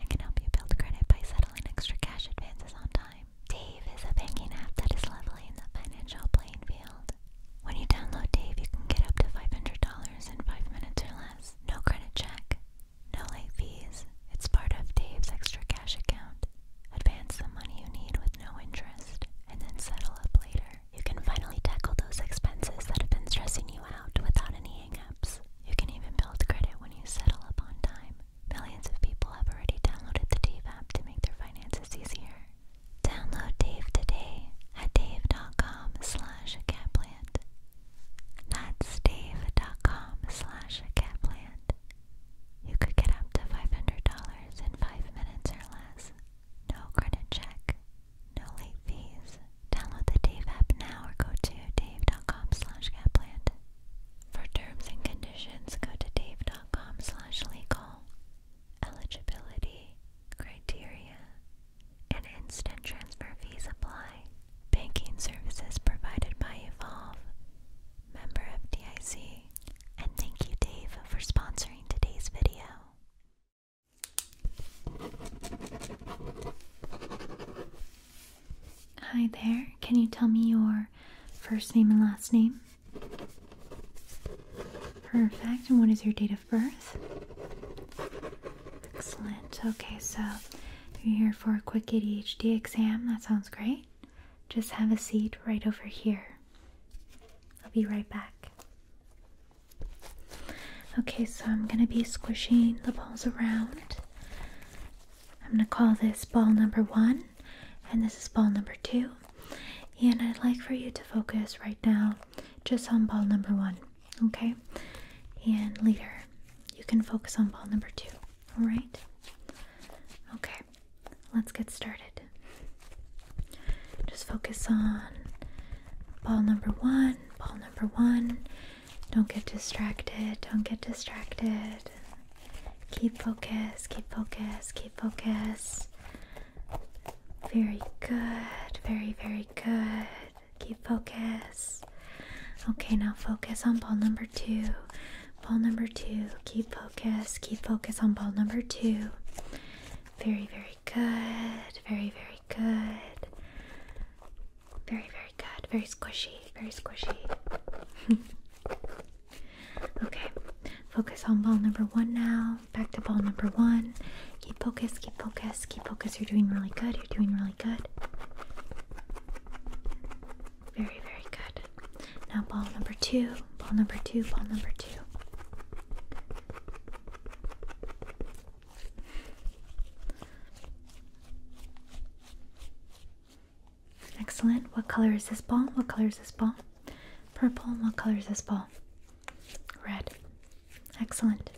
I can help you build credit by settling extra cash advances on time. Dave is a banking app that is leveling the financial playing field. When you download Dave, you can get up to $500 in 5 minutes or less. No credit check, no late fees. It's part of Dave's extra cash account. Advance the money you need with no interest, and then settle up later. You can finally tackle those expenses that have been stressing you out without any hangups. You can even build credit when you settle up on time. Millions of people have already downloaded the Dave app to make their finances easier. Download Dave today at dave.com slash catplant. That's dave.com slash catplant. You could get up to $500 in 5 minutes or less. No credit check, no late fees. Download the Dave app now or go to dave.com slash capland. For terms and conditions, go to dave.com slash legal. Eligibility, criteria, and instant transfer fees apply. Banking services provided by Evolve, member FDIC. And thank you, Dave, for sponsoring today's video. Hi there. Can you tell me your first name and last name? Perfect. And what is your date of birth? Excellent. Okay, so you're here for a quick ADHD exam. That sounds great. Just have a seat right over here. I'll be right back. Okay, so I'm gonna be squishing the balls around. I'm gonna call this ball number one, and this is ball number two. And I'd like for you to focus right now just on ball number one, okay? And later, you can focus on ball number two, alright? Okay, let's get started. Just focus on ball number one ball number one. Don't get distracted, don't get distracted. Keep focus, keep focus, keep focus. Very good, very, very good. Keep focus. Okay, now focus on ball number two. Ball number two, keep focus, keep focus on ball number two. Very, very good. Very, very good. Very, very good. Very squishy. Very squishy. okay. Focus on ball number one now. Back to ball number one. Keep focus, keep focus, keep focus. You're doing really good. You're doing really good. Very, very good. Now, ball number two, ball number two, ball number two. Excellent. What color is this ball? What color is this ball? Purple. What color is this ball? Red. Excellent.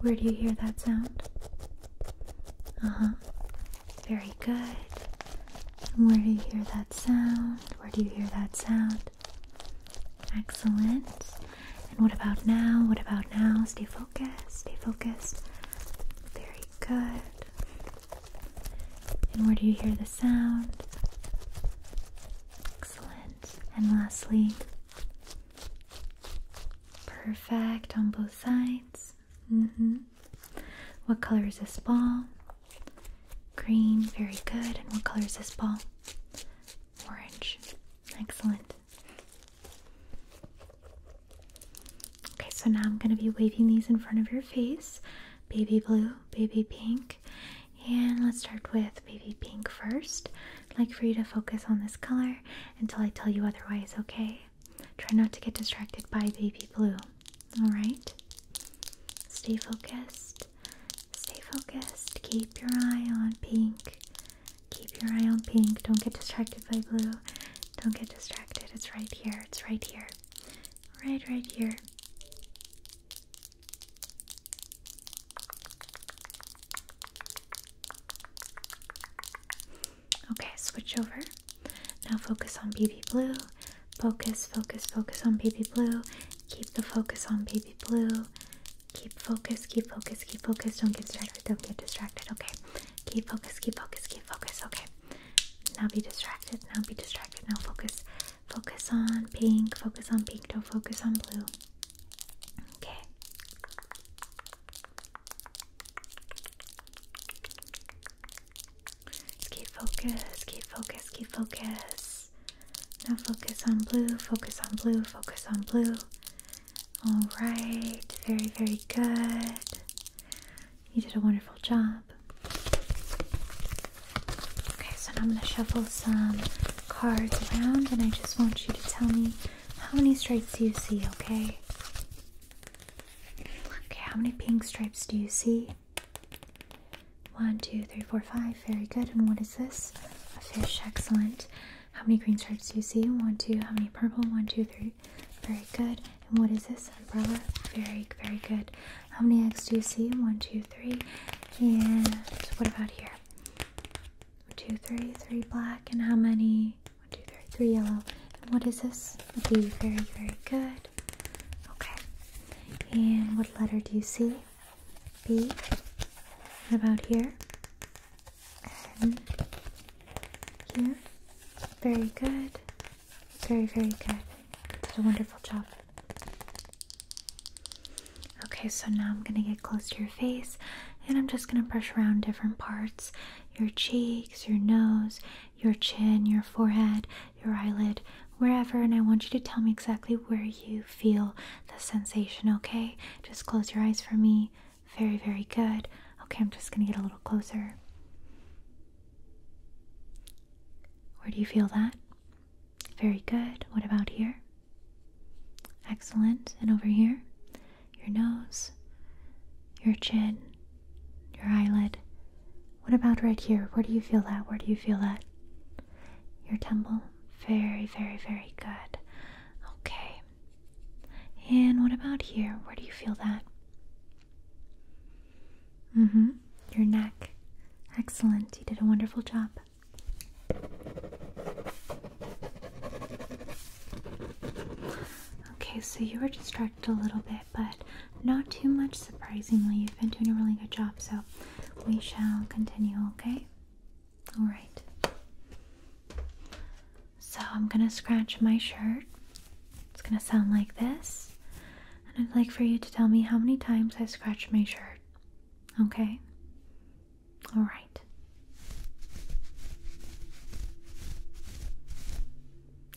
Where do you hear that sound? Uh huh. Very good. Where do you hear that sound? Where do you hear that sound? Excellent. And what about now? What about now? Stay focused. Stay focused. Very good. And where do you hear the sound? Excellent. And lastly, perfect on both sides. Mm-hmm. What color is this ball? Green, very good. And what color is this ball? Orange. Excellent. Okay, so now I'm going to be waving these in front of your face. Baby blue, baby pink. And let's start with baby pink first. I'd like for you to focus on this color until I tell you otherwise, okay? Try not to get distracted by baby blue. Alright? Stay focused. Stay focused. Keep your eye on pink. Keep your eye on pink. Don't get distracted by blue. Don't get distracted. It's right here. It's right here. Right, right here. Okay, switch over. Now focus on BB blue. Focus, focus, focus on baby blue. Keep the focus on baby blue. Keep focus, keep focus, keep focus. Don't get distracted, don't get distracted, okay? Keep focus, keep focus, keep focus, okay? Now be distracted, now be distracted, now focus. Focus on pink, focus on pink, don't focus on blue. Okay keep focus, keep focus, keep focus. Now focus on blue, focus on blue, focus on blue. Alright, very, very good. You did a wonderful job. Okay, so now I'm going to shuffle some cards around and I just want you to tell me how many stripes do you see, okay? Okay, how many pink stripes do you see? One, two, three, four, five. Very good. And what is this? A fish. Excellent. How many green stripes do you see? One, two. How many purple? One, two, three. Very good. And what is this? Umbrella. Very, very good. How many eggs do you see? One, two, three. And what about here? One, two, three. Three black. And how many? One, two, three. Three yellow. And what is this? B. Very, very good. Okay. And what letter do you see? B. What about here? N. Very good. Very, very good. Did a wonderful job. Okay, so now I'm going to get close to your face and I'm just going to brush around different parts your cheeks, your nose, your chin, your forehead, your eyelid, wherever, and I want you to tell me exactly where you feel the sensation, okay? Just close your eyes for me. Very, very good. Okay, I'm just gonna get a little closer. Where do you feel that? Very good. What about here? Excellent. And over here? Your nose, your chin, your eyelid. What about right here? Where do you feel that? Where do you feel that? Your temple. Very, very, very good. Okay. And what about here? Where do you feel that? Mm hmm. Your neck. Excellent. You did a wonderful job. Okay, so you were distracted a little bit but not too much surprisingly. You've been doing a really good job, so we shall continue, okay? Alright. So I'm gonna scratch my shirt. It's gonna sound like this. And I'd like for you to tell me how many times I scratched my shirt. Okay? Alright.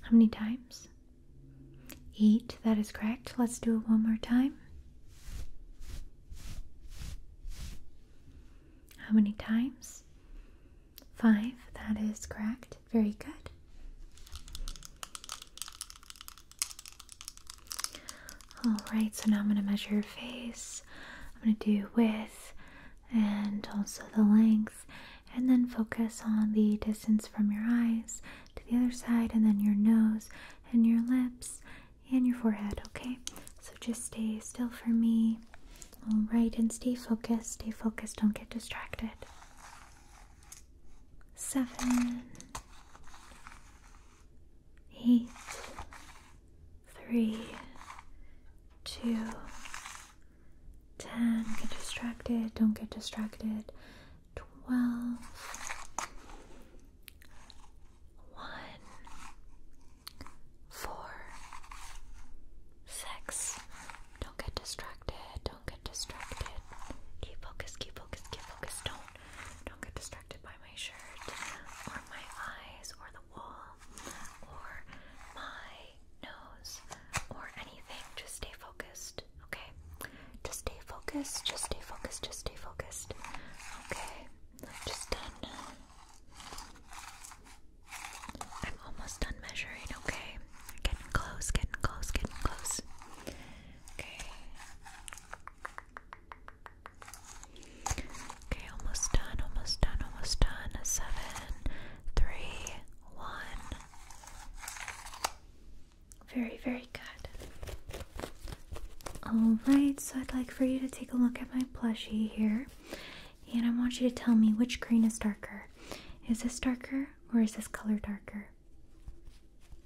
How many times? Eight, that is correct. Let's do it one more time. How many times? Five, that is correct. Very good. Alright, so now I'm going to measure your face. I'm going to do width and also the length and then focus on the distance from your eyes to the other side, and then your nose and your lips and your forehead. Okay, so just stay still for me. All right, and stay focused, stay focused, don't get distracted. Seven, eight, three, two, 10, get distracted, don't get distracted. 12, 1, 4, 6, don't get distracted, don't get distracted. Keep focus, keep focus, keep focus. Don't, don't get distracted by my shirt or my eyes or the wall or my nose, or anything. Just stay focused, okay? Just stay focused, just stay focused, just stay focused. Okay, I'm almost done measuring, okay? Getting close, getting close, getting close. Okay. Okay, almost done, almost done, almost done. Seven, three, one. Very, very good. Alright, so I'd like for you to take a look at my plushie here. And I want you to tell me which green is darker. Is this darker or is this color darker?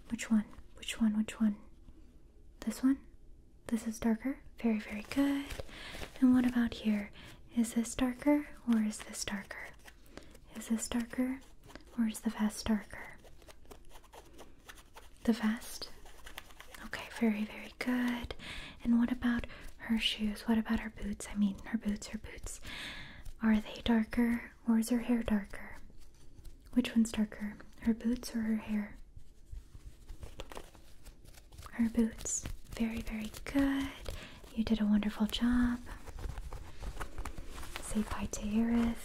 Which one? Which one? Which one? This one? This is darker? Very, very good. And what about here? Is this darker or is this darker? Is this darker or is the vest darker? The vest? Okay, very, very good. And what about her shoes? What about her boots? I mean, her boots, her boots. Are they darker or is her hair darker? Which one's darker? Her boots or her hair? her boots. Very, very good. You did a wonderful job. Say bye to Aerith.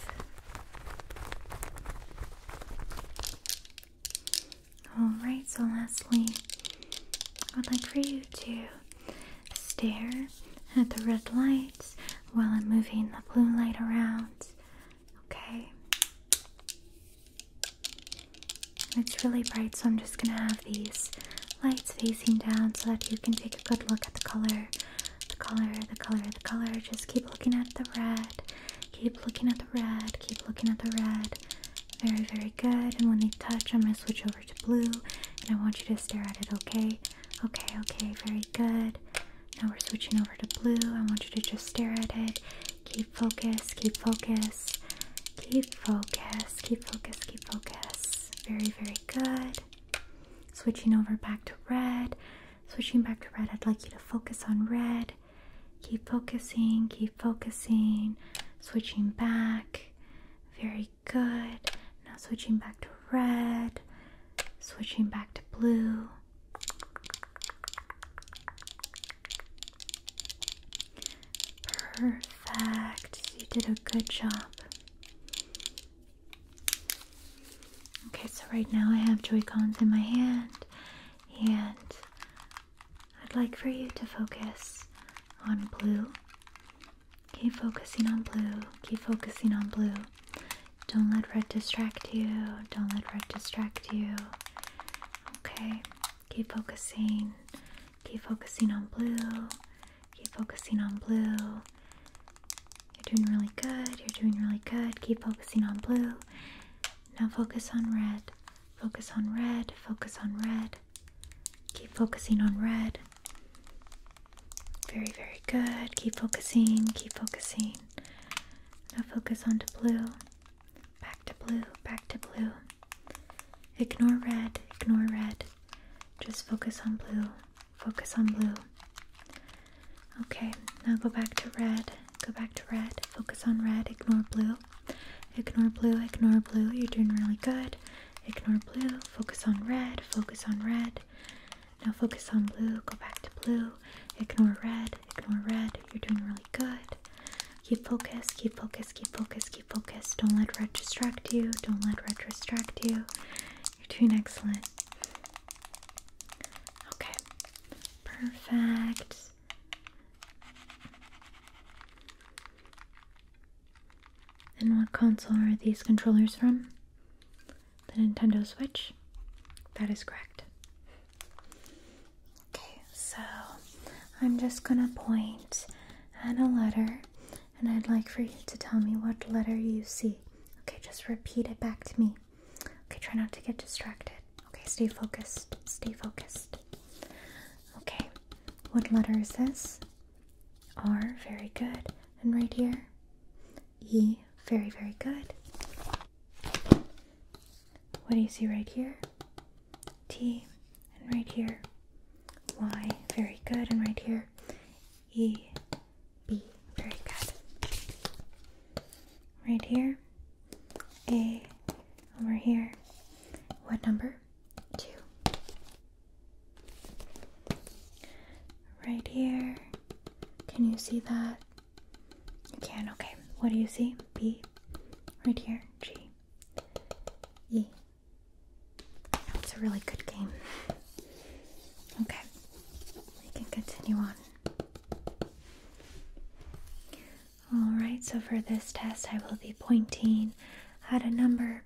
Alright, so lastly, I would like for you to stare at the red lights while I'm moving the blue light around. Okay? it's really bright, so I'm just gonna have these lights facing down so that you can take a good look at the color. The color, the color, the color. Just keep looking at the red. Keep looking at the red. Keep looking at the red. Very, very good. And when they touch, I'm gonna switch over to blue. And I want you to stare at it, okay? Okay, okay, very good. Now we're switching over to blue. I want you to just stare at it. Keep focus, keep focus, keep focus, keep focus, keep focus. Very, very good. Switching over back to red. Switching back to red, I'd like you to focus on red. Keep focusing, keep focusing. Switching back. Very good. Now switching back to red. Switching back to blue. Perfect. You did a good job. Okay, so right now I have Joy Cons in my hand, and I'd like for you to focus on blue. Keep focusing on blue. Keep focusing on blue. Don't let red distract you. Don't let red distract you. Okay, Keep focusing. Keep focusing on blue. Keep focusing on blue. You're doing really good. You're doing really good. Keep focusing on blue. Now focus on red. Focus on red. Focus on red. Keep focusing on red. Very, very good. Keep focusing. Keep focusing. Now focus on to blue. Back to blue, back to blue. Ignore red, ignore red. Just focus on blue, focus on blue. Okay, now go back to red, go back to red, focus on red, ignore blue. Ignore blue, ignore blue, you're doing really good. Ignore blue, focus on red, focus on red. Now focus on blue, go back to blue. Ignore red, ignore red, you're doing really good. Keep focus, keep focus, keep focus, keep focus. Don't let red distract you. Don't let red distract you. You're doing excellent. Okay, perfect. And what console are these controllers from? The Nintendo Switch? That is correct. Okay, so I'm just gonna point at a letter and I'd like for you to tell me what letter you see. Okay, just repeat it back to me. Okay, try not to get distracted. Okay, stay focused. Stay focused. Okay, what letter is this? R, very good. And right here? E, very, very good what do you see right here? T, and right here, Y, very good, and right here, E, B, very good. Right here, A, over here, what number? Two. Right here, can you see that? You can, okay. What do you see? B, right here, G, E. That's a really good game. Okay, we can continue on. Alright, so for this test, I will be pointing at a number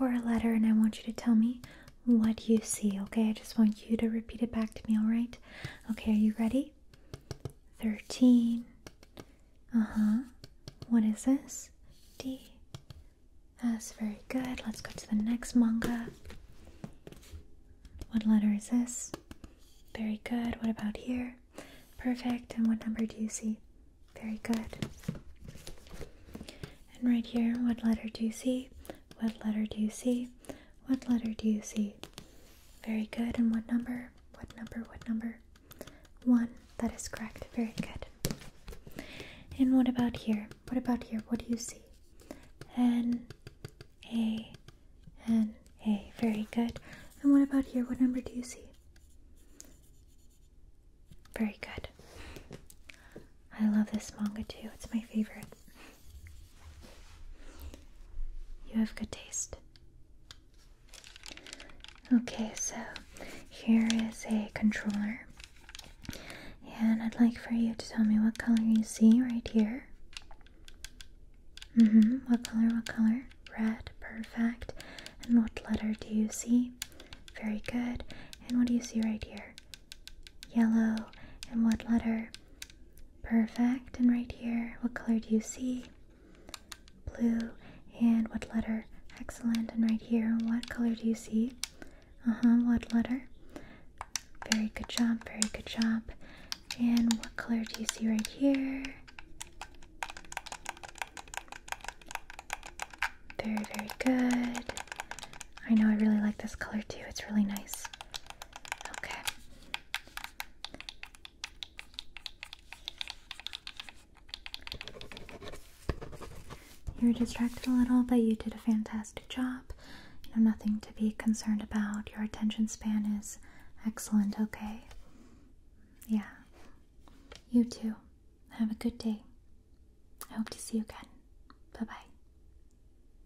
or a letter, and I want you to tell me what you see, okay? I just want you to repeat it back to me, alright? Okay, are you ready? 13. Uh huh. What is this? D. That's very good. Let's go to the next manga. What letter is this? Very good. What about here? Perfect. And what number do you see? Very good. And right here, what letter do you see? What letter do you see? What letter do you see? Very good. And what number? What number? What number? One. That is correct. Very good. And what about here? What about here? What do you see? N, A, N, A. Very good. And what about here? What number do you see? Very good. I love this manga too. It's my favorite. You have good taste. Okay, so here is a controller. And I'd like for you to tell me what color you see right here. Mm-hmm, what color? What color? Red. Perfect. And what letter do you see? Very good. And what do you see right here? Yellow. And what letter? Perfect. And right here, what color do you see? Blue. And what letter? Excellent. And right here, what color do you see? Uh huh. What letter? Very good job. Very good job. And what color do you see right here? Very, very good. I know I really like this color too. It's really nice. Okay. You were distracted a little, but you did a fantastic job. You know, nothing to be concerned about. Your attention span is excellent, okay? Yeah. You too. Have a good day. I hope to see you again. Bye bye.